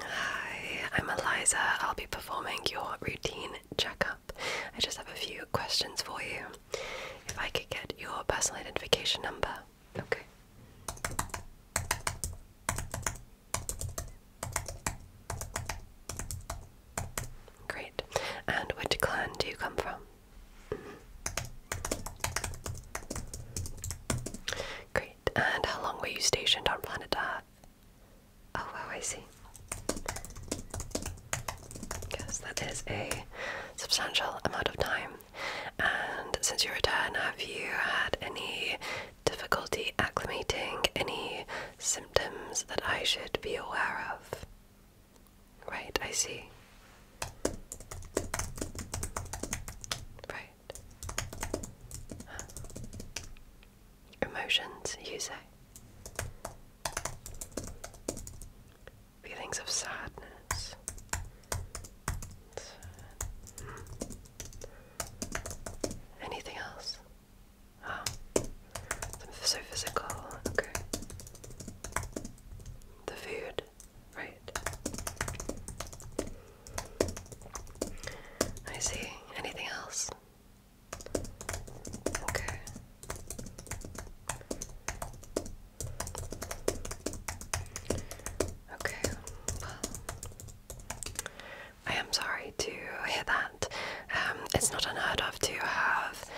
Hi, I'm Eliza. I'll be performing your routine checkup. I just have a few questions for you. If I could get your personal identification number. Okay. Great. And which clan do you come from? Mm-hmm. Great and how long were you stationed on planet Earth? Oh, wow, I see. Yes, that is a substantial amount of time. And since your return, have you had any difficulty acclimating, any symptoms that I should be aware of? Right, I see. Right. Emotions, you say? Feelings of sadness. Hmm. Anything else? Oh. So physical, okay. The food, right? I see. Anything else? Okay. Okay, I am sorry to hear that. Um, it's not unheard of to have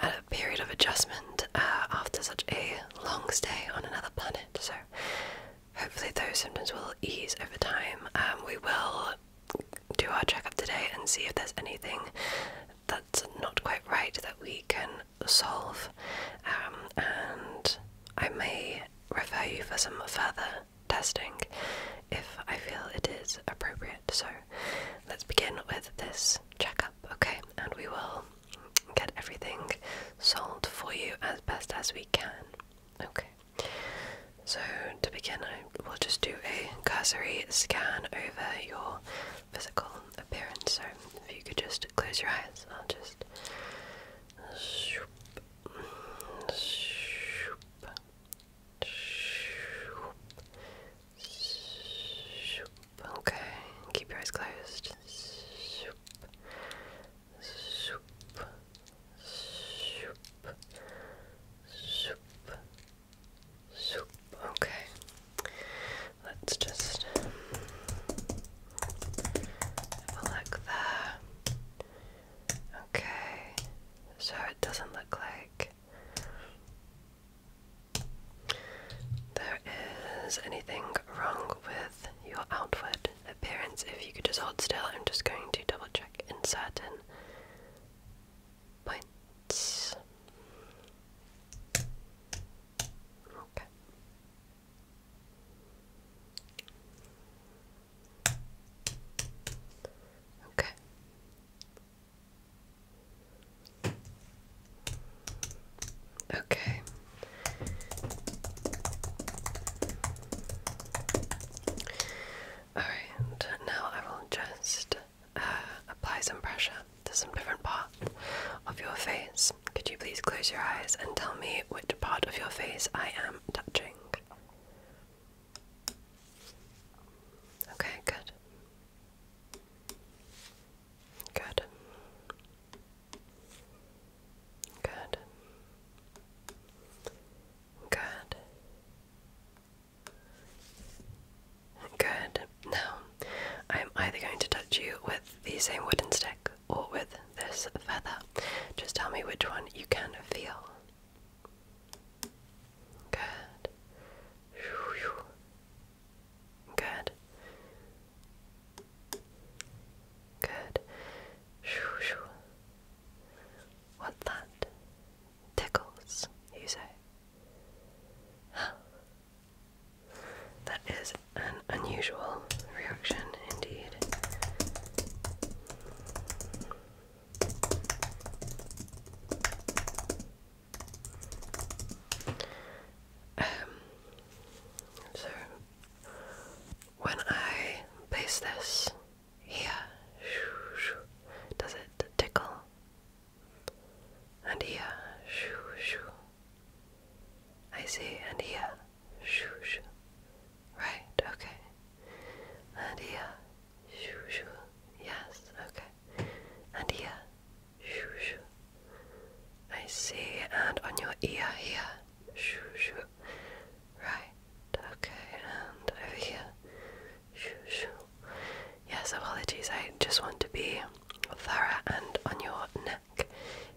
a period of adjustment uh, after such a long stay on another planet, so hopefully those symptoms will ease over time. Um, we will do our checkup today and see if there's anything that's not quite right that we can solve. Um, and I may refer you for some further testing if I feel it is appropriate. So let's begin with this checkup, okay? And we will get everything solved for you as best as we can. Okay. So, to begin, I will just do a cursory scan over your physical appearance. So, if you could just close your eyes, I'll just. Okay, keep your eyes closed. Shoop. Shoop. Shoop. Shoop. Okay. Let's just have a Okay. So it doesn't look like there is anything wrong with your outfit appearance. If you could just hold still, I'm just going to double check in certain points. Okay. Okay. Okay. Alright, now I will just uh, apply some pressure to some different parts of your face. Could you please close your eyes and tell me which part of your face I am touching? Okay, good. Good. Good. Good. Good. Now, I'm either going to touch you with the same wooden stick or with this feather. Just tell me which one you can feel. Good. Good. Good. What that? Tickles, you say? That is an unusual reaction indeed. Um, so when I place this here, does it tickle? And here, I see, and here, right, okay, and here, yes, okay, and here, I see, and on your ear here. Shoo, shoo. Right, okay, and over here. Shoo, shoo. Yes, apologies, I just want to be thorough and on your neck.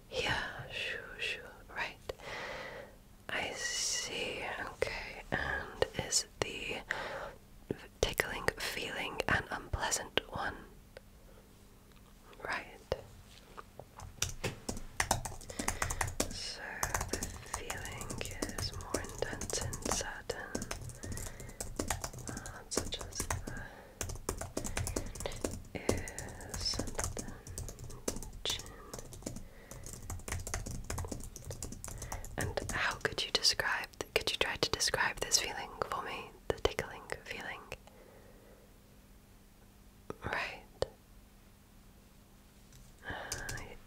Here, shoo, shoo. Right. I see, okay, and is the tickling feeling an unpleasant one? Right, so the feeling is more intense in certain such as and the chin. And how could you describe? Could you try to describe this feeling for me? The tickling feeling. Right.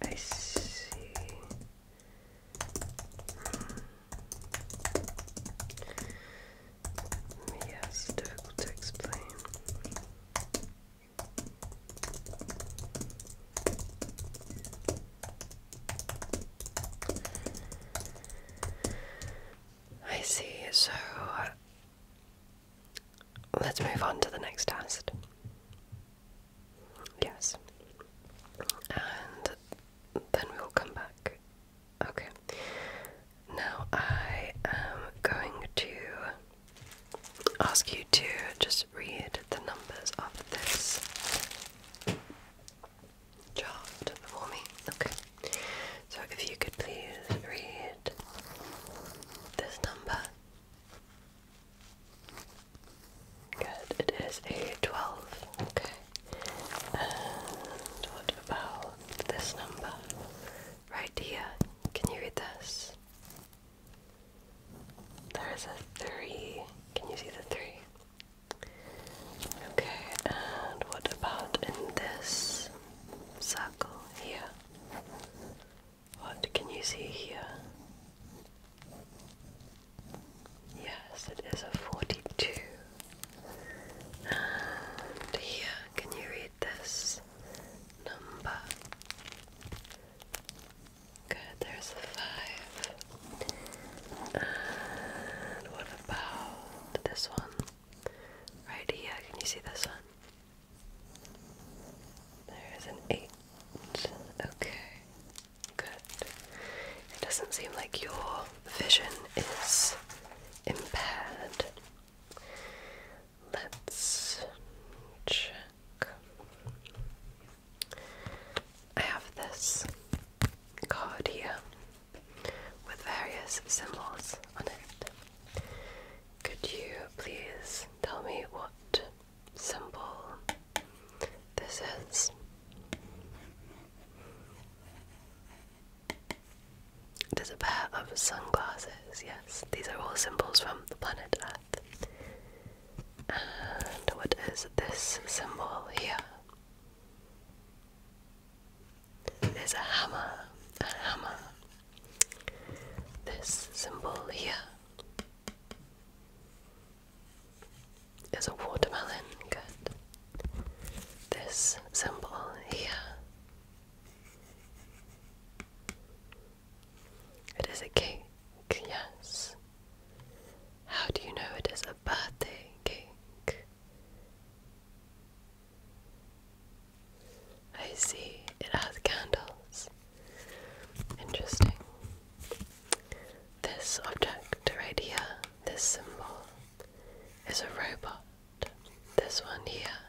I, see. Hmm. Yes, difficult to explain. I see, so Let's move on to the next test. Yes. And then we will come back. Okay. Now I am going to ask you to just read the numbers of this chart for me. Okay. So if you could please read this number. Good, it is a 12. Okay. And what about this number? Right here. Can you read this? There is a 3. Can you see the 3? Okay, and what about in this circle here? What can you see here? Yes, it is a 42. And here, can you read this number? Good, there's a 5. And what about this one? Right here, can you see this one? There's an eight. Okay, good. It doesn't seem like your vision is impaired. Let's check. I have this card here with various symbols on it. Could you please tell me what symbol this is? There's a pair of sunglasses, yes. These are all symbols from the planet Earth. And what is this symbol here? There's a hammer, a hammer, this symbol here is a watermelon. Good. This symbol here. It is a cake, yes. How do you know it is a birthday cake? I see it has candles. Interesting. This object right here, this symbol, is a robot. This one here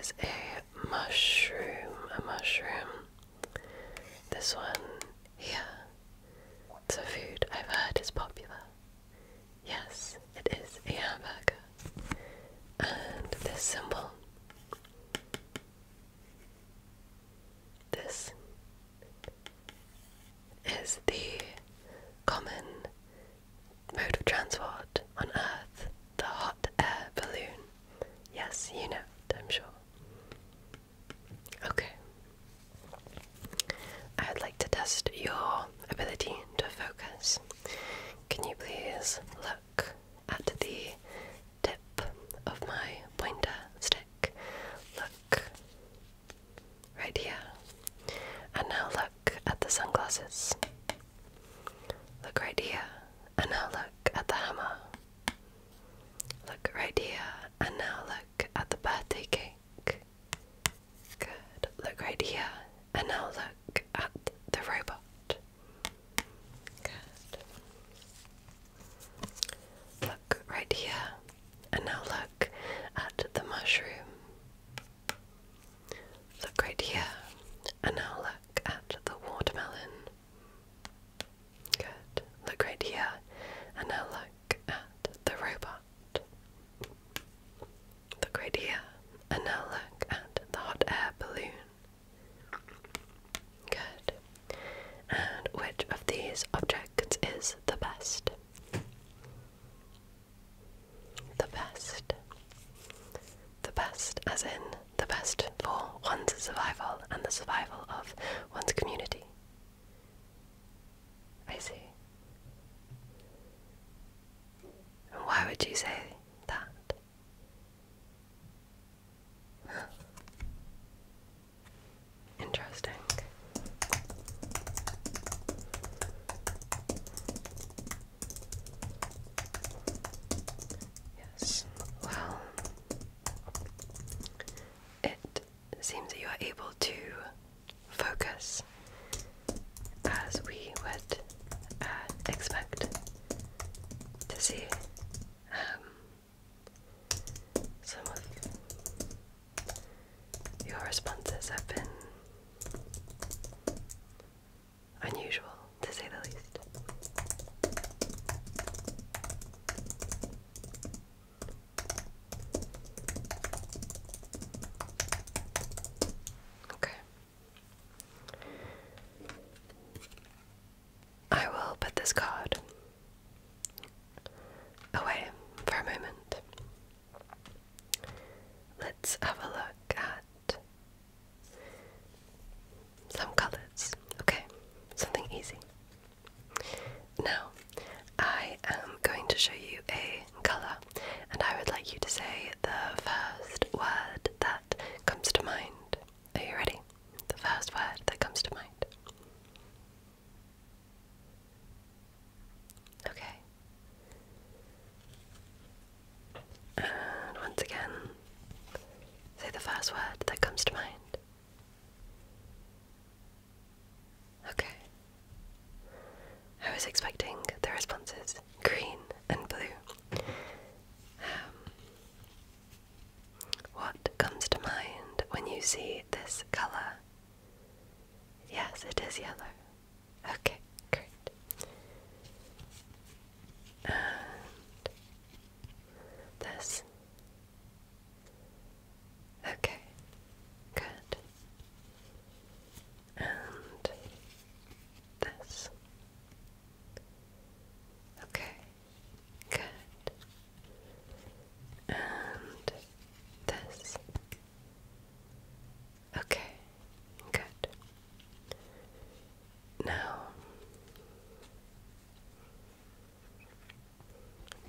is a mushroom, a mushroom. This one here, it's a food I've heard is popular. Yes, it is a hamburger. And this symbol, this is the common mode of transport on Earth, the hot air balloon. Yes, you know it, I'm sure. Okay. I would like to test your ability to focus. Can you please look at the tip of my pointer stick? Look right here. And now look at the sunglasses. Look right here. And now look at the hammer. Look right here. And now look at the birthday cake. Good. Look right here. And now look at the robot. Good. Look right here. And now look at the mushroom. Look right here. And now look at the watermelon. Good. Look right here. And now look at the robot. The right here, and now look at the hot air balloon. Good. And which of these objects is the best? The best. The best, as in the best for one's survival and the survival of one's community. I see. why would you say that. Interesting. Yes, well, it seems that you are able to focus as we would uh, expect to see um, some of your responses have been unusual, to say the least. Okay. I will put this card away for a moment. Let's have a look at some colors. Okay, something easy. Now, I am going to show you a color and I would like you to say the first word that comes to mind. Are you ready? The first word that comes to mind. Okay. And once again, say the first word that comes to mind. Okay. I was expecting the responses green and blue. Um, what comes to mind when you see this colour? Yes, it is yellow. Okay, great. this. Okay, good. And this. Okay, good. And this. Okay, good. Now,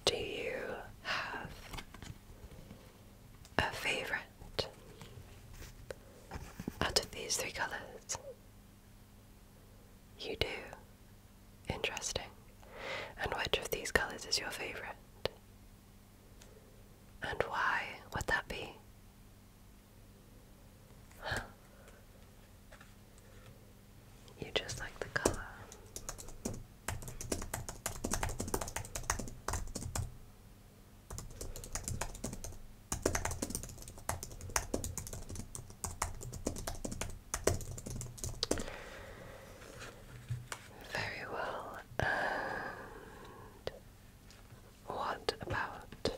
do you have a favorite out of these three colors? You do. Interesting. And which of these colors is your favorite? And why would that be? Huh. You just like the color. Very well. And what about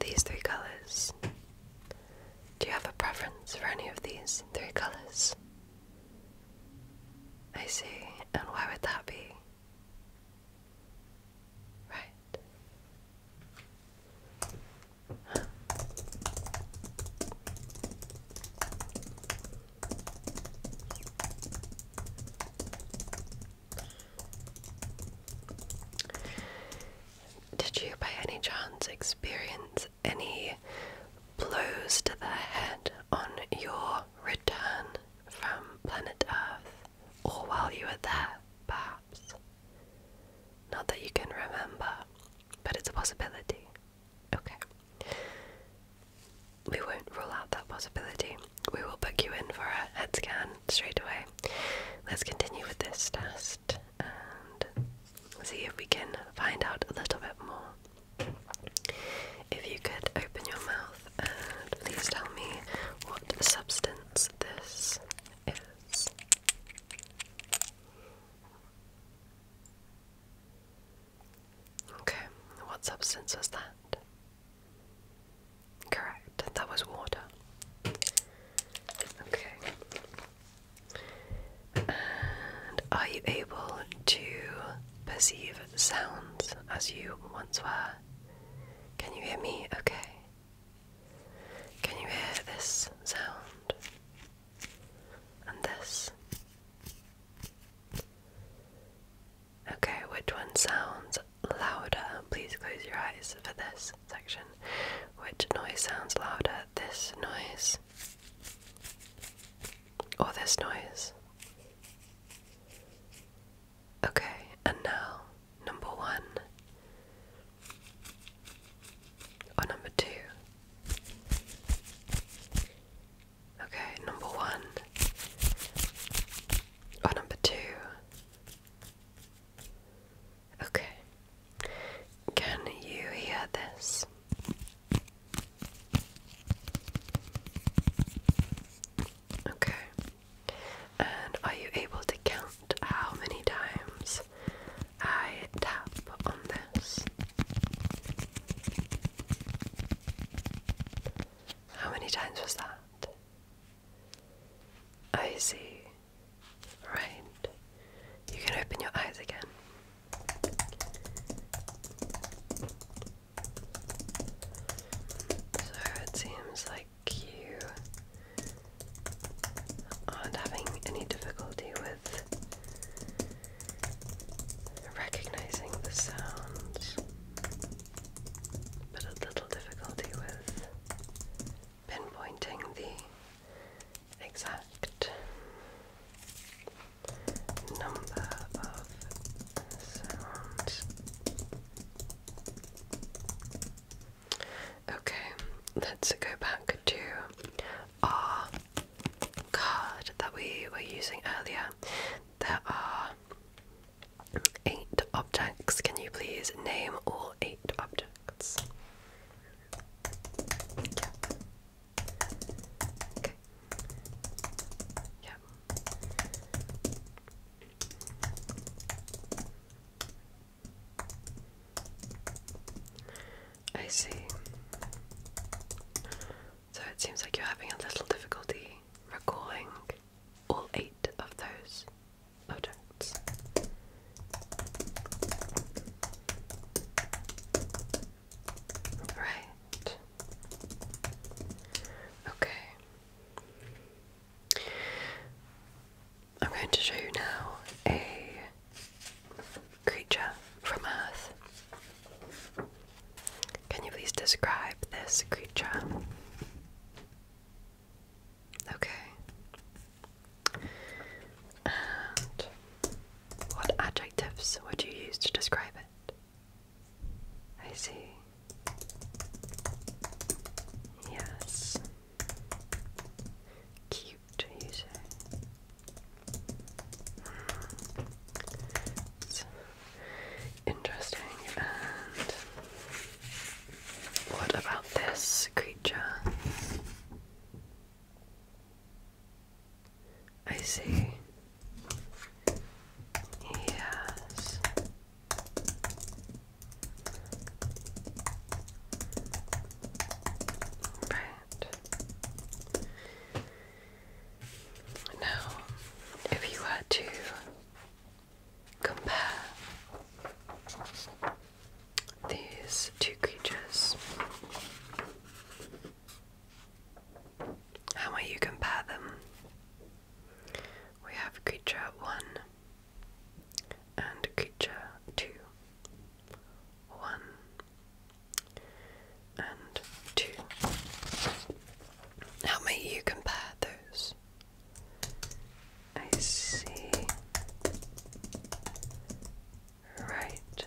these three colors? Do you have a preference for any of these three colors? I see. And why would that be? Right. Did you by any chance experience any blows to the head on your return from planet Earth, or while you were there, perhaps. Not that you can remember, but it's a possibility. Okay. We won't rule out that possibility. We will book you in for a head scan straight away. Let's continue with this test and see if we can find out a little bit more. If you could open your mouth and please tell me what substance this is. Okay, what substance was that? Correct, that was water. Okay. And are you able to perceive sounds as you once were. Can you hear me okay? Can you hear this sound? And this? Okay, which one sounds louder? Please close your eyes for this section. Which noise sounds louder? This noise or oh, this noise. Okay, and now number one or oh, number two. Okay, number one or oh, number two. Okay. Can you hear this? Okay. And are you able to count how many times I tap on this? How many times was that? I see. Right. You can open your eyes again. So it seems like you aren't having any difficulty with recognizing the sounds, but a little difficulty with pinpointing the exact number of Okay, let's go back to our card that we were using earlier. There are eight objects. Can you please name all eight objects? I see. So it seems like you're having a little difficulty recalling all eight of those objects. Right. Okay. I'm going to show you now a creature from Earth. Can you please describe this creature? Okay. And what adjectives would you use to describe it? I see. Yes. Cute, you hmm. interesting. And what about this creature? I see. Yes. Right. Now, if you had to compare these two creatures, how might you compare them? We have creature one and creature two. One and two. How might you compare those? I see. Right.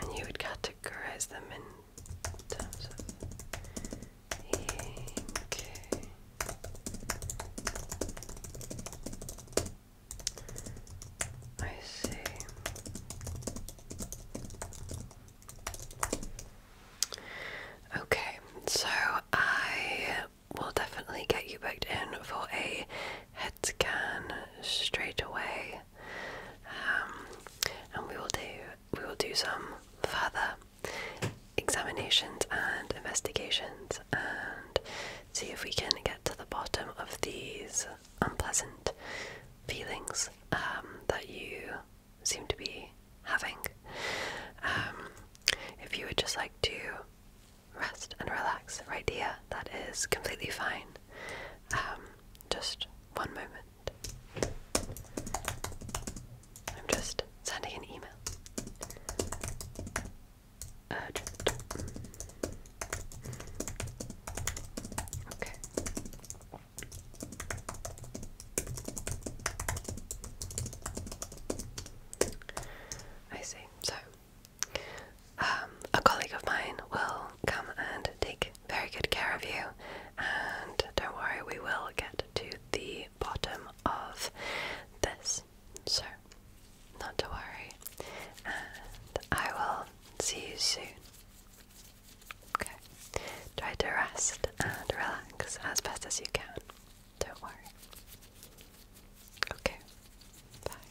And you would categorize them in in I see. Okay, so I will definitely get you back in for a head scan straight away. Um, and we will do we will do some further examinations and investigations and see if we can get to the bottom of these unpleasant feelings um, that you seem to be having. Um, if you would just like to rest and relax right here, that is completely fine. Um, just one moment. I'm just sending an email. Urgent. Okay. I see. So, um, a colleague of mine will come and take very good care of you, and don't worry, we will get to the bottom of this. So, not to worry, and I will see you soon. Okay, try to rest and relax as best as you can. Don't worry. Okay, bye.